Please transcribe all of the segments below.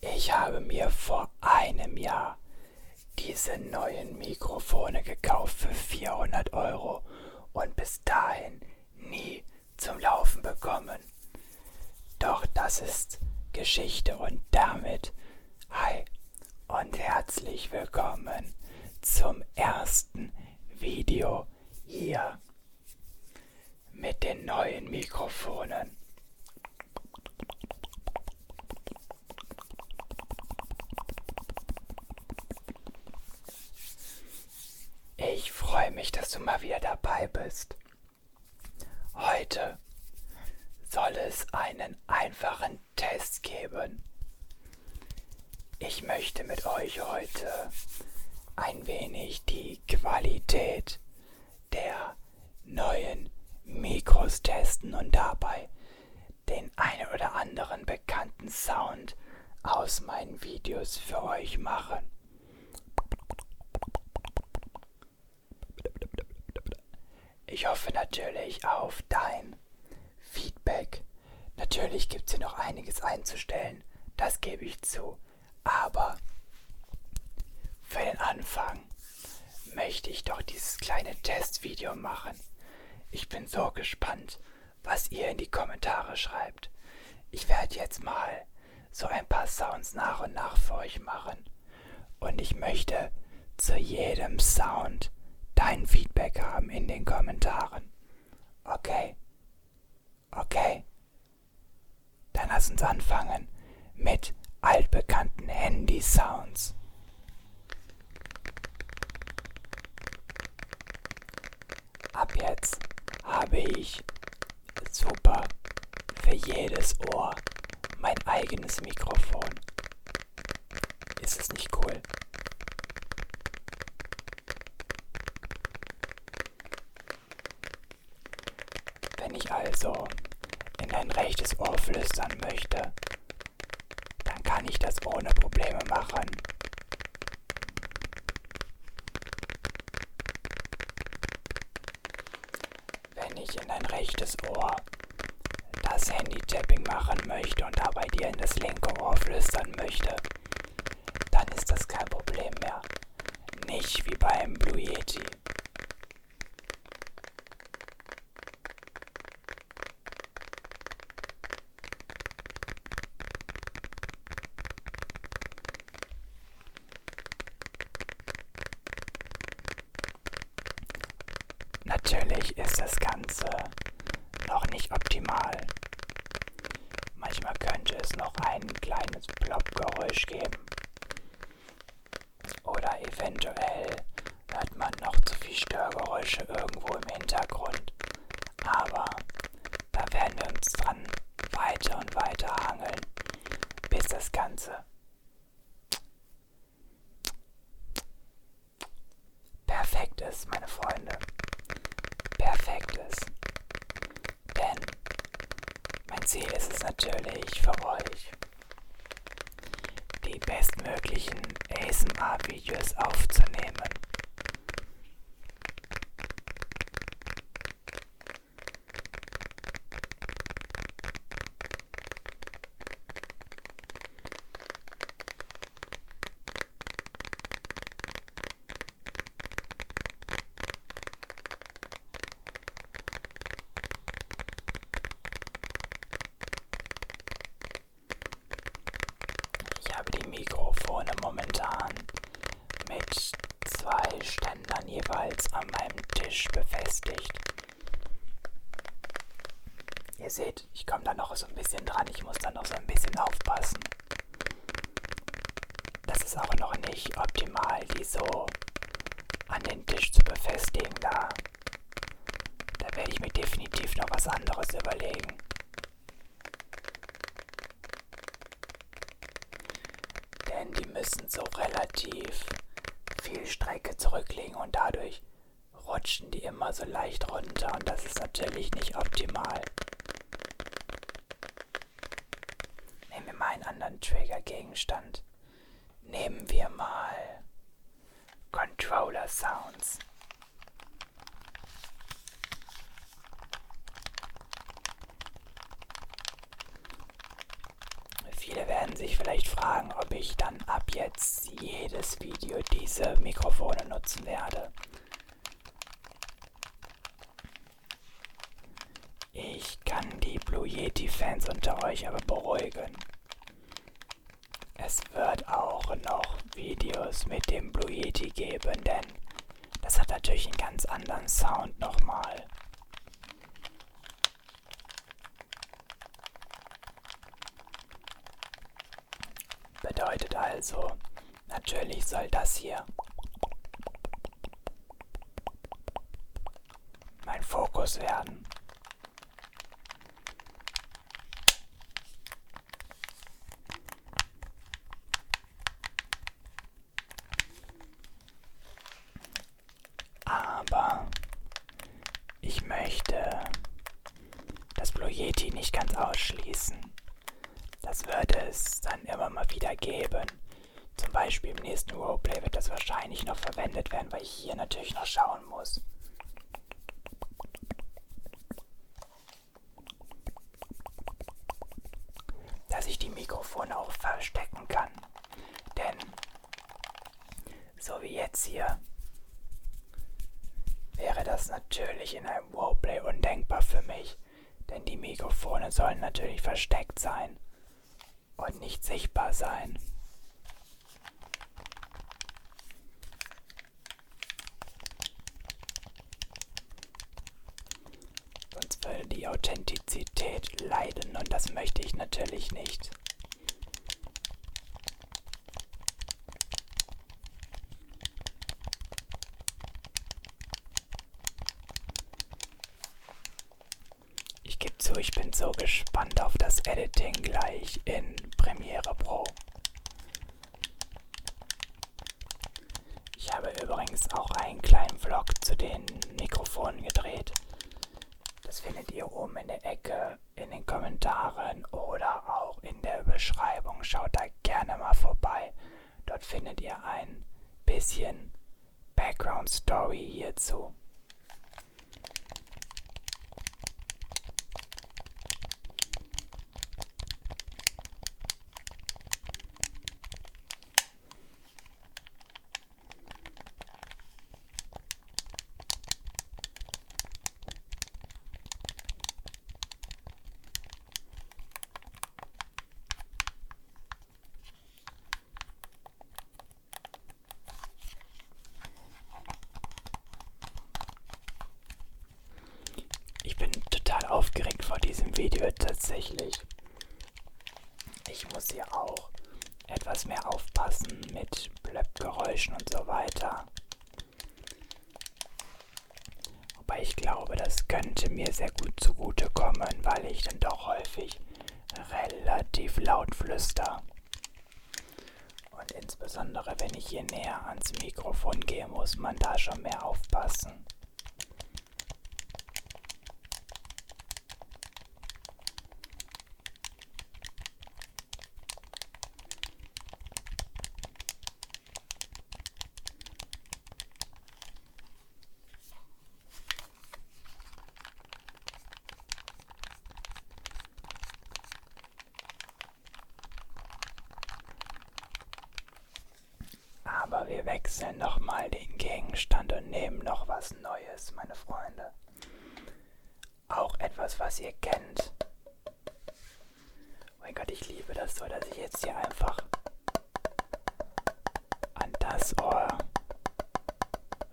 Ich habe mir vor einem Jahr diese neuen Mikrofone gekauft für 400 Euro und bis dahin nie zum Laufen bekommen. Doch das ist Geschichte und damit hi und herzlich willkommen zum ersten Video hier mit den neuen Mikrofonen. Ich freue mich, dass du mal wieder dabei bist. Heute soll es einen einfachen Test geben. Ich möchte mit euch heute ein wenig die Qualität der neuen Mikros testen und dabei den einen oder anderen bekannten Sound aus meinen Videos für euch machen. Ich hoffe natürlich auf dein Feedback. Natürlich gibt es hier noch einiges einzustellen, das gebe ich zu aber für den Anfang möchte ich doch dieses kleine Testvideo machen. Ich bin so gespannt, was ihr in die Kommentare schreibt. Ich werde jetzt mal so ein paar Sounds nach und nach für euch machen. Und ich möchte zu jedem Sound dein Feedback haben in den Kommentaren. Okay? Okay. Dann lass uns anfangen mit altbekannten Handy-Sounds. Ab jetzt habe ich super für jedes Ohr mein eigenes Mikrofon. Ist es nicht cool? Wenn ich also in dein rechtes Ohr flüstern möchte, dann kann ich das ohne Probleme machen. Wenn ich in dein rechtes Ohr das Handy-Tapping machen möchte und dabei dir in das linke Ohr flüstern möchte, dann ist das kein Problem mehr. Nicht wie beim Blue Yeti. Natürlich ist das Ganze noch nicht optimal. Manchmal könnte es noch ein kleines Plop-Geräusch geben. Oder eventuell hört man noch zu viel Störgeräusche irgendwo im Hintergrund. Aber da werden wir uns dran weiter und weiter hangeln, bis das Ganze perfekt ist, meine Freunde. Perfekt ist. Denn mein Ziel ist es natürlich für euch, die bestmöglichen ASMR-Videos aufzunehmen. Ich habe die Mikrofone momentan mit zwei Ständern jeweils an meinem Tisch befestigt. Ihr seht, ich komme da noch so ein bisschen dran, ich muss da noch so ein bisschen aufpassen. Das ist aber noch nicht optimal, die so an den Tisch zu befestigen da. Da werde ich mir definitiv noch was anderes überlegen. Denn die müssen so relativ viel Strecke zurücklegen und dadurch rutschen die immer so leicht runter und das ist natürlich nicht optimal. Nehmen wir mal einen anderen Triggergegenstand. Nehmen wir mal Controller Sounds. Viele werden sich vielleicht fragen, ob ich dann ab jetzt jedes Video diese Mikrofone nutzen werde. Ich kann die Blue Yeti-Fans unter euch aber beruhigen. Es wird auch noch Videos mit dem Blue Yeti geben, denn das hat natürlich einen ganz anderen Sound nochmal. Bedeutet also, Natürlich soll das hier mein Fokus werden. Aber ich möchte das Blue Yeti nicht ganz ausschließen. Das wird es dann immer mal wieder geben. Zum Beispiel im nächsten Roleplay wird das wahrscheinlich noch verwendet werden, weil ich hier natürlich noch schauen muss. Dass ich die Mikrofone auch verstecken kann. Denn so wie jetzt hier wäre das natürlich in einem Roleplay undenkbar für mich, denn die Mikrofone sollen natürlich versteckt sein und nicht sichtbar sein. Sonst würde die Authentizität leiden und das möchte ich natürlich nicht. Ich gebe zu, ich bin so gespannt auf das Editing gleich in Premiere Pro. Ich habe übrigens auch einen kleinen Vlog zu den Mikrofonen gedreht. Das findet ihr oben in der Ecke in den Kommentaren oder auch in der Beschreibung. Schaut da gerne mal vorbei. Dort findet ihr ein bisschen Background Story hierzu. Ich bin total aufgeregt vor diesem Video tatsächlich. Ich muss hier auch etwas mehr aufpassen mit Blöppgeräuschen und so weiter. Wobei ich glaube, das könnte mir sehr gut zugutekommen, weil ich dann doch häufig relativ laut flüster. Und insbesondere wenn ich hier näher ans Mikrofon gehe, muss man da schon mehr aufpassen. Aber wir wechseln nochmal den Gegenstand und nehmen noch was Neues, meine Freunde. Auch etwas, was ihr kennt. Mein Gott, ich liebe das so, dass ich jetzt hier einfach an das Ohr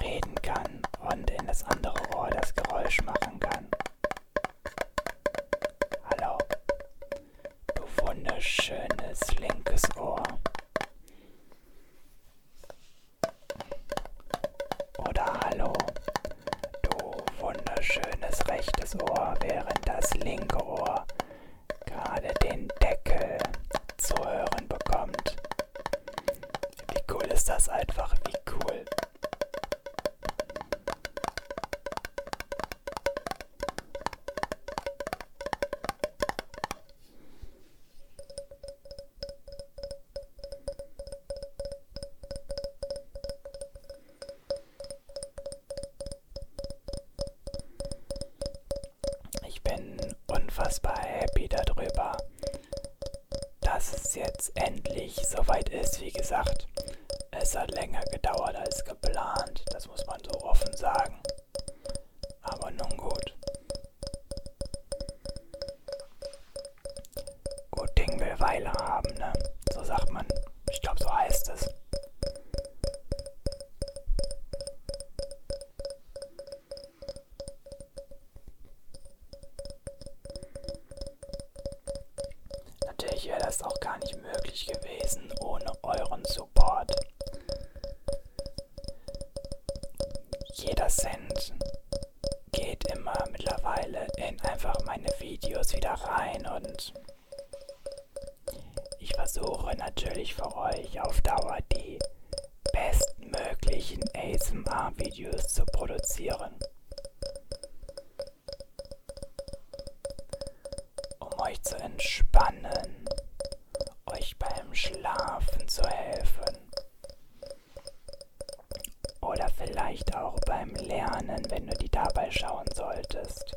reden kann und in das andere Ohr das Geräusch machen kann. Hallo, du wunderschönes linkes Ohr. Oder hallo, du wunderschönes rechtes Ohr, während das linke Ohr gerade den Deckel zu hören bekommt. Wie cool ist das einfach, wie cool. Ich bin unfassbar happy darüber, dass es jetzt endlich soweit ist. Wie gesagt, es hat länger gedauert als geplant, das muss man so offen sagen. Aber nun gut. Gut Ding will Weile haben, ne? So sagt man. Ich glaube, so heißt es. Natürlich wäre das auch gar nicht möglich gewesen ohne euren Support. Jeder Cent geht immer mittlerweile in einfach meine Videos wieder rein und ich versuche natürlich für euch auf Dauer die bestmöglichen ASMR-Videos zu produzieren. Um euch zu entspannen, euch beim Schlafen zu helfen oder vielleicht auch beim Lernen, wenn du die dabei schauen solltest.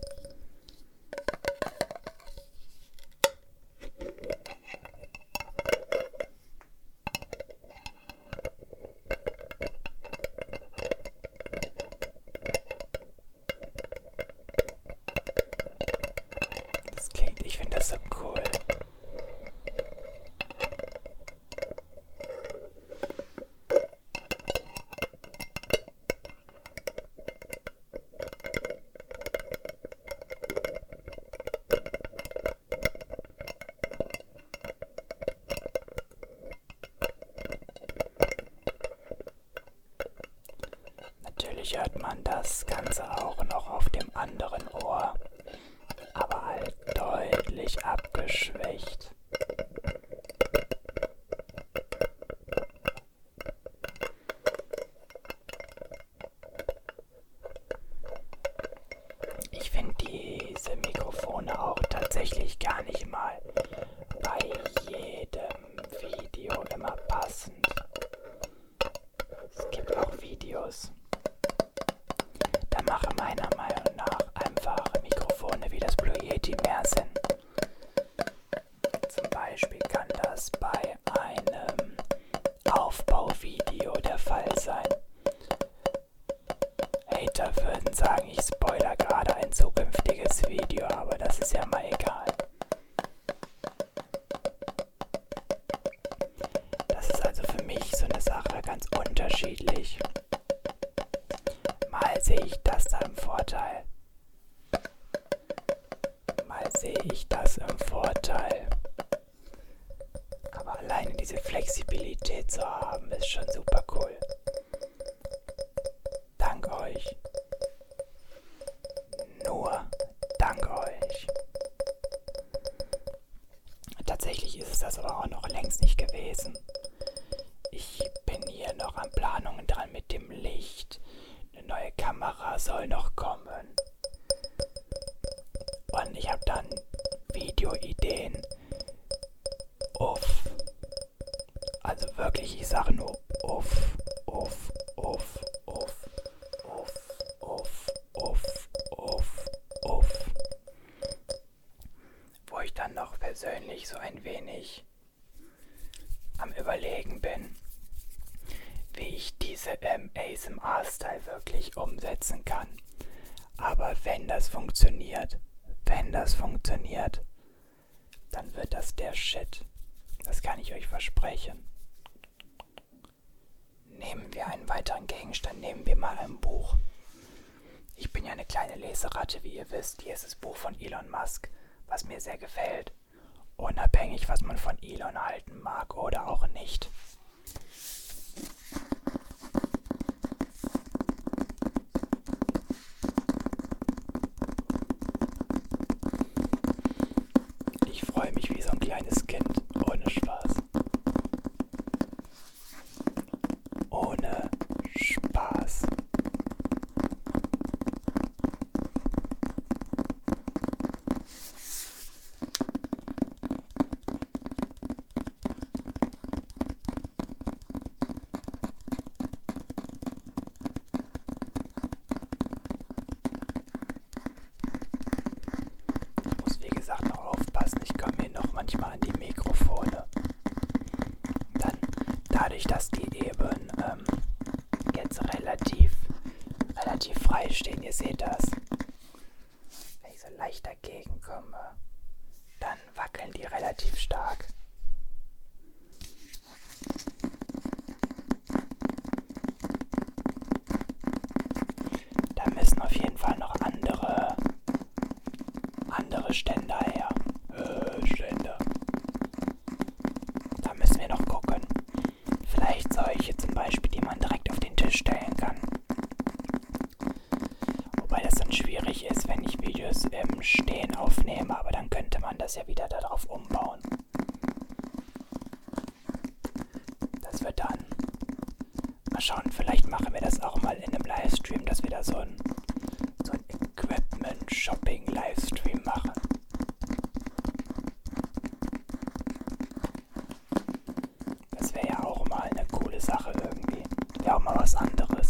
Das klingt, ich finde das so cool. Natürlich hört man das Ganze auch noch auf dem anderen Ohr aber halt deutlich abgeschwächt. Ich finde diese Mikrofone auch tatsächlich gar nicht mal bei jedem Video immer passend. Es gibt auch Videos. Da machen meiner Meinung nach einfache Mikrofone wie das Blue Yeti mehr Sinn. Zum Beispiel kann das bei einem Aufbauvideo der Fall sein. Hater würden sagen, ich spoiler gerade ein zukünftiges Video, aber das ist ja mal egal. Das ist also für mich so eine Sache ganz unterschiedlich. Mal sehe ich das da im Vorteil. Mal sehe ich das im Vorteil. Aber alleine diese Flexibilität zu haben, ist schon super cool. Dank euch. Nur dank euch. Tatsächlich ist es das aber auch noch längst nicht gewesen. Ich bin hier noch an Planungen dran mit dem Licht. Eine neue Kamera soll noch kommen. Und ich habe dann Videoideen. Uff. Also wirklich, ich sage nur uff, uff, uff, uff off, off, off, off, off. Wo ich dann noch persönlich so ein wenig am Überlegen bin, wie ich diese ähm, ASMR-Style wirklich umsetzen kann. Aber wenn das funktioniert, wenn das funktioniert, dann wird das der Shit. Das kann ich euch versprechen. Nehmen wir einen weiteren Gegenstand, nehmen wir mal ein Buch. Ich bin ja eine kleine Leseratte, wie ihr wisst. Hier ist das Buch von Elon Musk, was mir sehr gefällt. Unabhängig, was man von Elon halten mag oder auch nicht. Ich freue mich wie so ein kleines Kind. Ohne Spaß. Ohne Spaß. Ich muss wie gesagt auch aufpassen, ich komme hier noch manchmal an die Mikrofone. Dann, dadurch, dass die eben ähm, jetzt relativ, relativ frei stehen, ihr seht das, wenn ich so leicht dagegen komme, dann wackeln die relativ stark. Da müssen auf jeden Fall noch andere, andere Ständer her. Äh, Ständer. Da müssen wir noch gucken. Vielleicht solche zum Beispiel, die man direkt auf den Tisch stellen kann. Wobei das dann schwierig ist, wenn ich Videos im Stehen aufnehme, aber dann könnte man das ja wieder darauf umbauen dass wir dann mal schauen, vielleicht machen wir das auch mal in einem Livestream, dass wir da so ein, so ein Equipment-Shopping-Livestream machen. Das wäre ja auch mal eine coole Sache irgendwie. Wäre auch mal was anderes.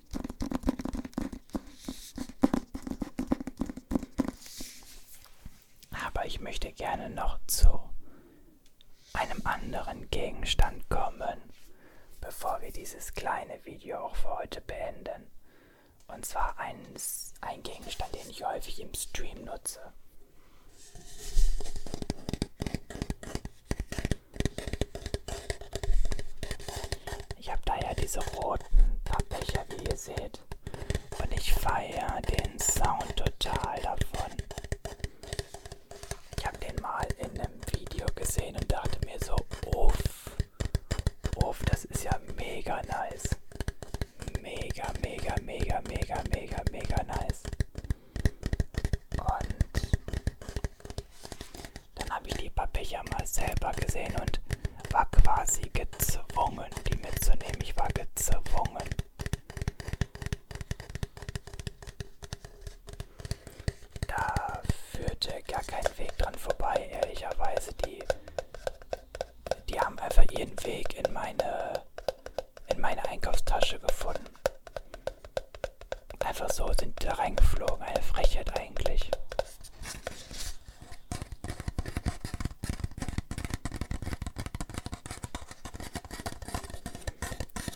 Aber ich möchte gerne noch zu einem anderen Gegenstand kommen, bevor wir dieses kleine Video auch für heute beenden. Und zwar ein, ein Gegenstand, den ich häufig im Stream nutze. Ich habe da ja diese roten Pappbecher, wie ihr seht. Und ich feiere den Sound total davon. Ich habe den mal in einem Video gesehen und dachte mir so, uff, uff, das ist ja mega nice. Mega, mega, mega, mega, mega, mega nice. Und dann habe ich die Papier mal selber gesehen und war quasi gezwungen, die mitzunehmen. Ich war gezwungen. Da führte gar kein Weg dran vorbei, ehrlicherweise. Die, die haben einfach ihren Weg in meine, in meine Einkaufstasche gefunden. Einfach so sind die da reingeflogen. Eine Frechheit eigentlich.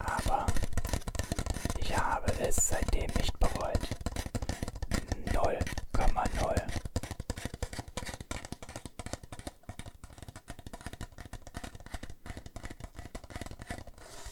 Aber ich habe es seitdem nicht bereut. 0,0.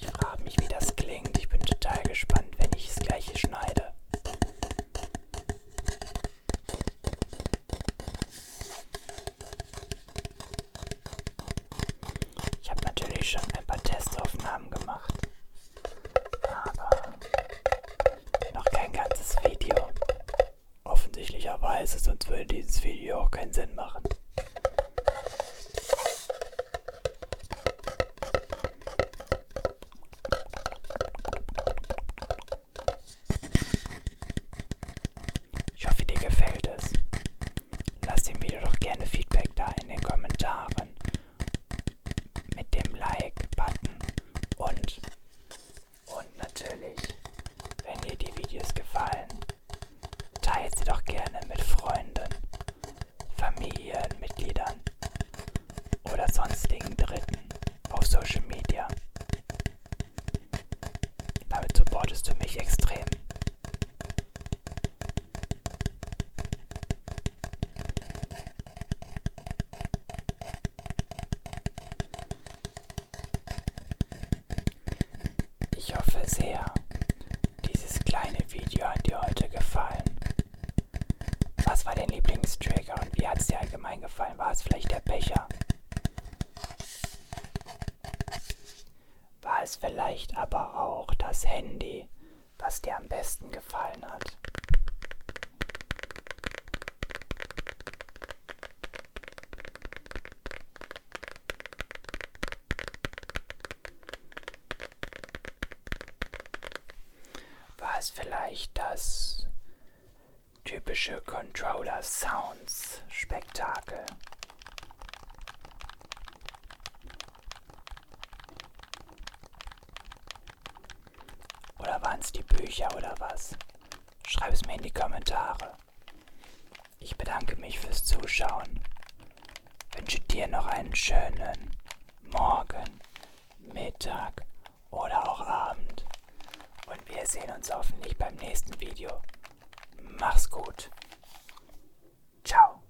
Ich frage mich, wie das klingt. Ich bin total gespannt, wenn ich das gleiche schneide. Ich habe natürlich schon ein paar Testaufnahmen gemacht, aber noch kein ganzes Video. Offensichtlicherweise, sonst würde dieses Video auch keinen Sinn machen. Ich hoffe, dir gefällt es. Lass dem Video doch gerne Feedback da in den Kommentaren mit dem Like-Button und, und natürlich, wenn dir die Videos gefallen, teilt sie doch gerne mit Freunden Familienmitgliedern oder sonstigen Dritten auf Social Media. Damit supportest du mich extrem. Ich hoffe sehr, dieses kleine Video hat dir heute gefallen. Was war dein Lieblingstrigger und wie hat es dir allgemein gefallen? War es vielleicht der Becher? War es vielleicht aber auch das Handy, was dir am besten gefallen hat? War es vielleicht das typische Controller Sounds Spektakel? Oder waren es die Bücher oder was? Schreib es mir in die Kommentare. Ich bedanke mich fürs Zuschauen. Wünsche dir noch einen schönen Morgen, Mittag oder auch Abend. Und wir sehen uns hoffentlich beim nächsten Video. Mach's gut. Ciao.